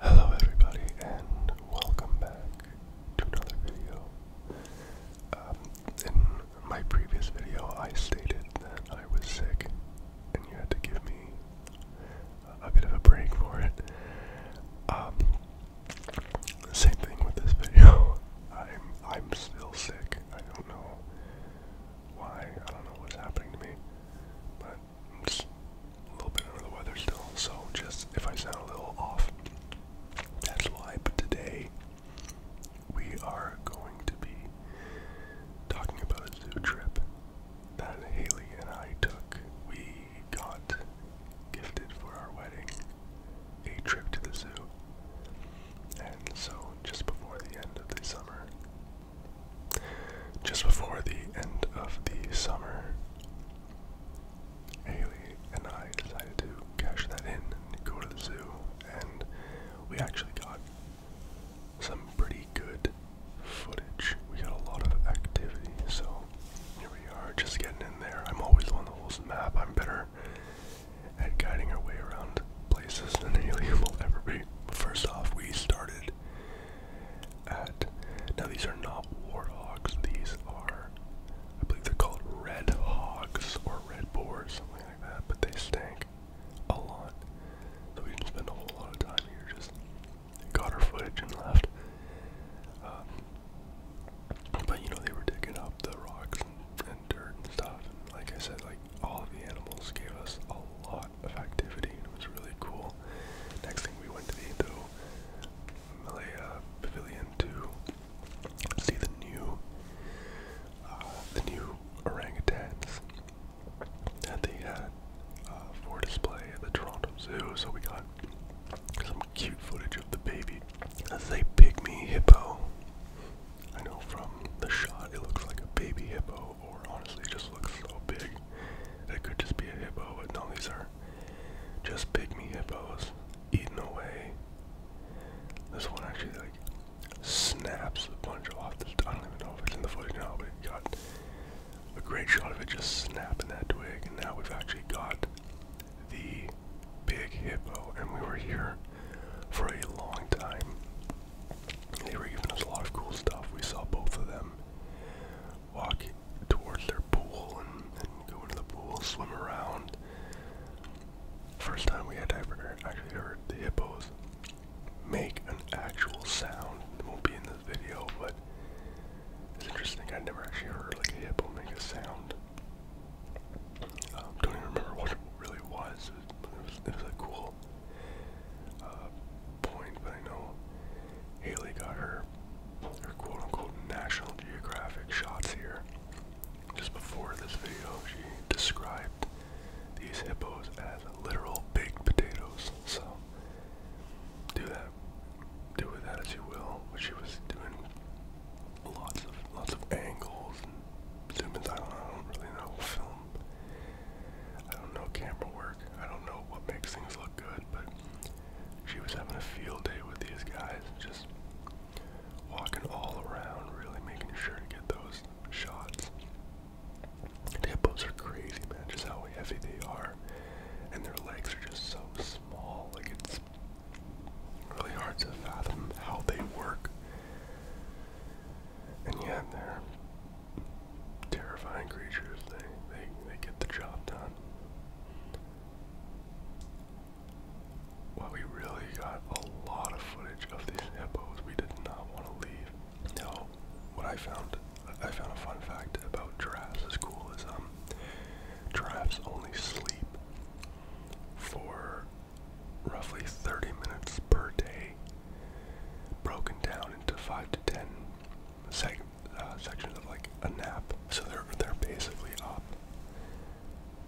Hello everybody and welcome back to another video. Um, in my previous video I stated that I was sick and you had to give me a bit of a break for it. Um, same thing with this video. I'm, I'm still sick. I don't know why. I don't know what's happening to me. But a little bit under the weather still, so just if I sound a little off, that's why. But today, we are going to be talking about a zoo trip that Haley and I took. We got gifted for our wedding a trip to the zoo. And so, just before the end of the summer, just before the end of the summer, Haley and I decided to cash that in and go to the zoo, and we actually got some pretty good footage. We got a lot of activity, so here we are, just getting in there. I'm always the one that the map. I'm better at guiding our way around places than Haley will ever be. But first off, we started now these are not warthogs, these are I believe they're called red hogs or red boars, something like that, but they stink a lot. So we didn't a whole lot of time here, just got our footage and left. Um, but you know they were digging up the rocks and, dirt and stuff and like I said like all the animals gave us a lot of activity it was really cool. Next thing we went to the Indo Malaya Pavilion to see the new uh, the new orangutans that they had uh, for display at the Toronto Zoo. So we got some cute footage of the baby. That's a pygmy hippo. I know from the shot it looks like a baby hippo, or honestly just looks so big. That could just be a hippo, but no, these are just pygmy hippos eating away. This one actually like snaps a bunch off this. I don't even know if it's in the footage now, but it got a great shot of it just snapping that twig. And now we've actually got the big hippo, and we were here for a long time. They were giving us a lot of cool stuff. We saw both of them walk towards their pool and, and go into the pool, swim around. First time we had ever actually heard the hippos make an actual sound. It won't be in this video, but it's interesting. I never actually heard like a hippo make a sound. Um, don't even remember what it really was. It was, it was, it cool single uh, point, but I know Haley got her her quote unquote National Geographic shots here. Just before this video, she described these hippos as literal baked potatoes. So do that, do with that as you will. But she was doing lots of lots of angles and zoom in. I don't, I don't really know film I don't know camera work. I don't know what makes things look good, but she was having a field day with these guys, just walking all around, really making sure to get those shots. hippos are crazy, man, just how heavy they are. And their legs are just so small, like it's really hard to fathom how they work. And yet they're terrifying creatures. They they they get the job done. Well, we really got a lot of footage of these hippos. We did not want to leave. Now, what I found, I found a fun fact about giraffes as cool as um, giraffes only sleep for roughly 30 minutes per day, broken down into 5 to 10 uh, sections of like a nap. So they're, they're basically up.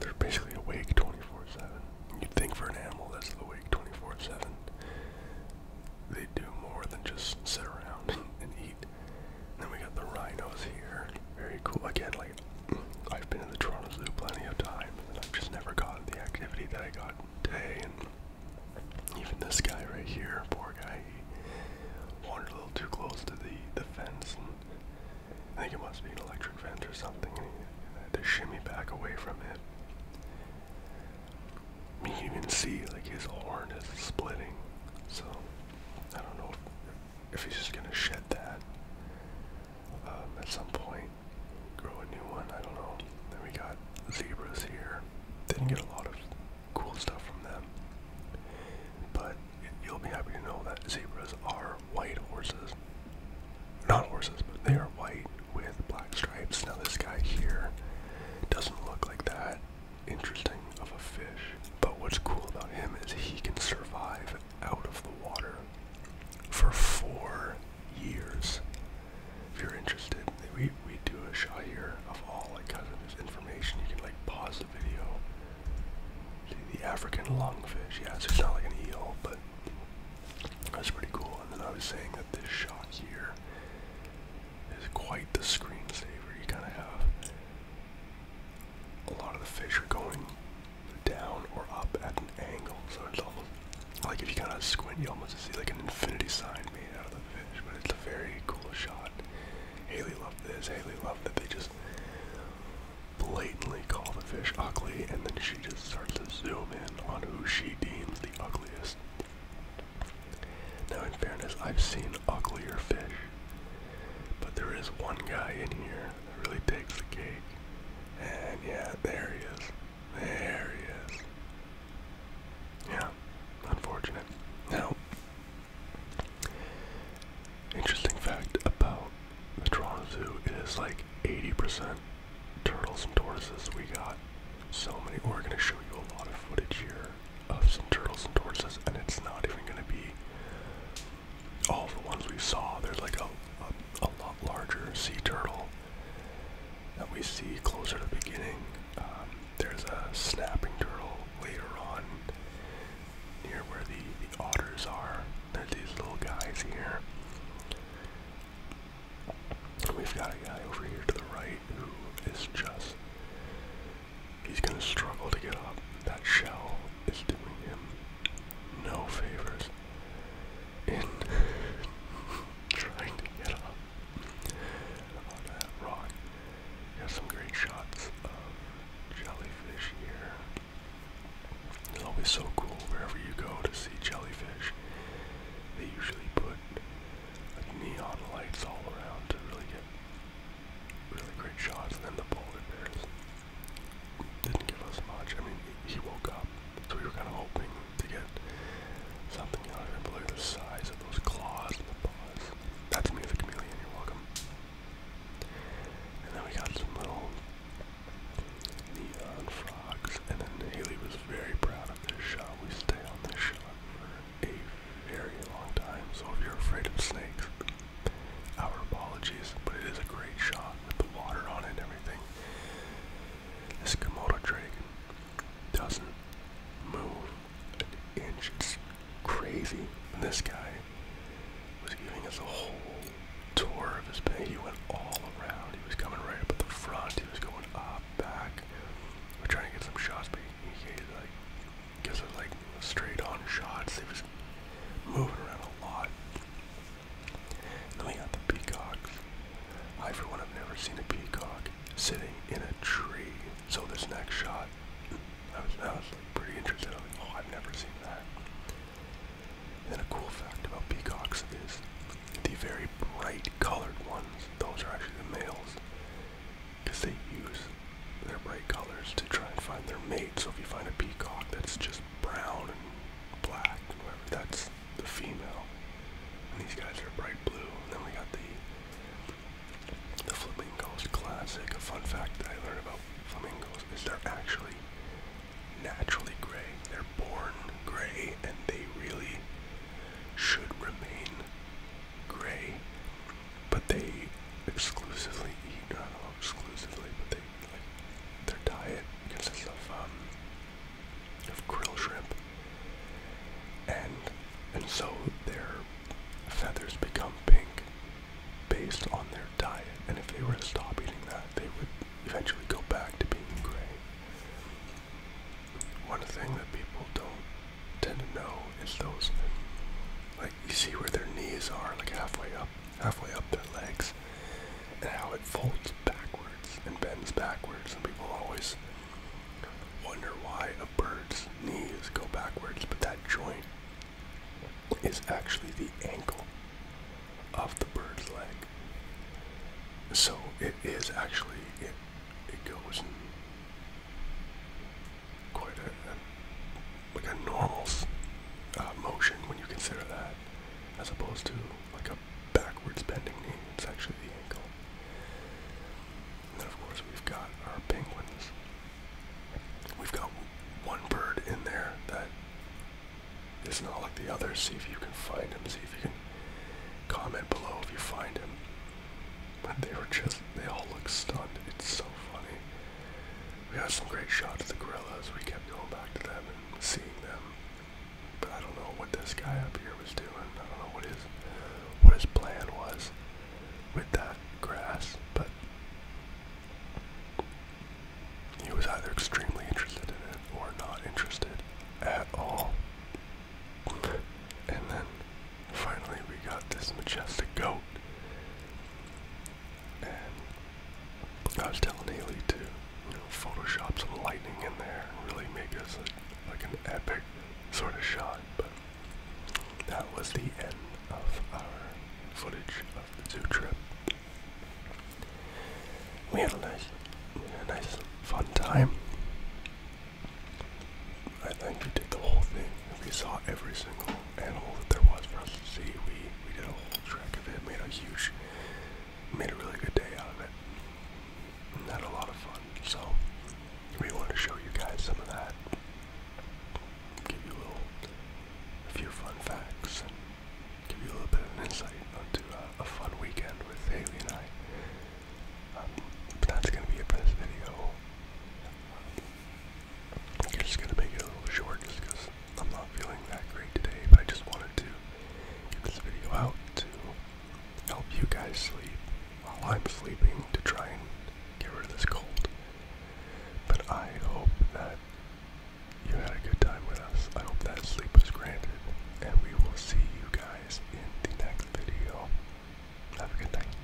They're basically awake 24 7. You'd think for an animal that's awake 24 7, they do more than just sit around and, eat. And then we got the rhinos here. Very cool. Again, like, I've been in the Toronto Zoo plenty of times, and I've just never gotten the activity that I got day. And even this guy right here, poor guy, he wandered a little too close to the, the fence. And I think it must be an electric fence or something, and he had to shimmy back away from it. you can even see like his horn is splitting, so I don't know if, he's just gonna shed that um, at some point grow a new one. I don't know. Then we got zebras here. Didn't get a lot of cool stuff from them, but you'll be happy to know that zebras are white horses. Not horses, but they are white with black stripes. Now this guy here doesn't look like that interesting of a fish, but what's cool about him is he can survive out of the water for four years. If you're interested, we, we do a shot here of all kinds of information. You can like pause the video. See the African lungfish. Yeah, it's not like an eel, but that's pretty cool. And then I was saying that this shot here is quite the screensaver. You kind of have a lot of the fish are going down or up at an angle. So it's almost like if you kind of squint, you almost see like an infinity sign made out of the fish. But it's a very cool shot. Haley loved this. Haley loved that they just blatantly call the fish ugly, and then she just starts to zoom in on who she deems the ugliest. Now, in fairness, I've seen uglier fish, but there is one guy in here that really takes the cake. And yeah, there he is. There he is. Yeah, unfortunate. Now, interesting fact about the Toronto Zoo is like 80% turtles and tortoises we got. So many. We're going to show you a lot of footage here of some turtles and tortoises, and it's not even going to be all the ones we saw, there's like a, a, lot larger sea turtle that we see closer to the beginning. Um, there's a snapping turtle later on near where the, the otters are. There's these little guys here. we've got a guy over here to the right who is just, he's going to struggle to get up. That shell is doing him no favors. And trying to get on that rock. Got some great shots of jellyfish here. It's always so cool wherever you go to see jellyfish. They usually put neon lights all around to really get really great shots and then the polar bears didn't give us much. I mean, he woke up, so we were kind of hoping to get something out of him. But look at the size of those claws and the paws. That's me, the chameleon. You're welcome. And then we got some little neon frogs. And then Haley was very proud of this shot. We stay on this shot for a very long time. So if you're afraid of snakes, our apologies, but it is a great shot with the water on it and everything. This Komodo dragon doesn't move an inch. It's crazy. this guy was giving us a whole tour of his bay. He went all around. He was coming right up at the front. He was going up, back. We're trying to get some shots, but he, gave us like straight on shots. He was moving around a lot. And then we got the peacocks. I, for one, have never seen a peacock sitting in a tree. So this next shot, I was, I was like pretty interested. I was like, oh, I've never seen that. And a cool fact about peacocks is the very bright colored ones, those are actually the males, because they use their bright colors to try and find their mate. So if you find a peacock that's just brown and black and whatever. That's the female. And these guys are bright blue. And then we got the the flamingos classic. A fun fact that I learned about flamingos is they're actually naturally gray. They're born gray and they really should remain gray. But they exclusively eat, not exclusively, but they their diet consists of um, of krill shrimp, and and so their feathers become pink based on their diet. And if they were to stop eating that, they would eventually go back to being gray. One thing that people don't tend to know is those, like you see where their knees are, like halfway up halfway up their legs, and how it folds backwards and bends backwards. And people always wonder why a bird's knee is go backwards, but that joint is actually the ankle of the bird's leg. So it is actually it it goes quite a, like a normal uh, motion when you consider that, as opposed to like a backwards bending knee. It's actually the ankle. And then of course we've got our penguins. We've got one bird in there that is not like the others. See if you can find him. See if you can comment below if you find him. But they were just, they all look stunned. It's so funny. We had some great shots of the gorillas. We kept going back to them and seeing them. But I don't know what this guy up here was doing. I don't know what his what his plan was with that grass, but he was either extremely interested in it or not interested at all. And then finally we got this majestic goat and I was telling Haley to, you know, Photoshop some lightning in there really make this like an epic sort of shot. But that was the end of our footage of the zoo trip. We had a nice, we had a nice fun time. I think we did the whole thing. We saw every single animal that there was for us to see. We we did a whole trek of it. Made a huge, made a really good day out of it. And had a lot of fun. So we want to show you guys some of that. Give you a little, few fun facts, and give you a little bit of an insight into uh, a, fun weekend with Haley and I. Um, that's gonna be it for this video. I'm just gonna make it a little short just I'm not feeling that great today, but I just wanted to get this video out to help you guys sleep while I'm sleeping to try and get rid of this cold. But I hope that you had a good time with us. I hope that sleep was granted, and we will see you guys in the next video. Have a good night.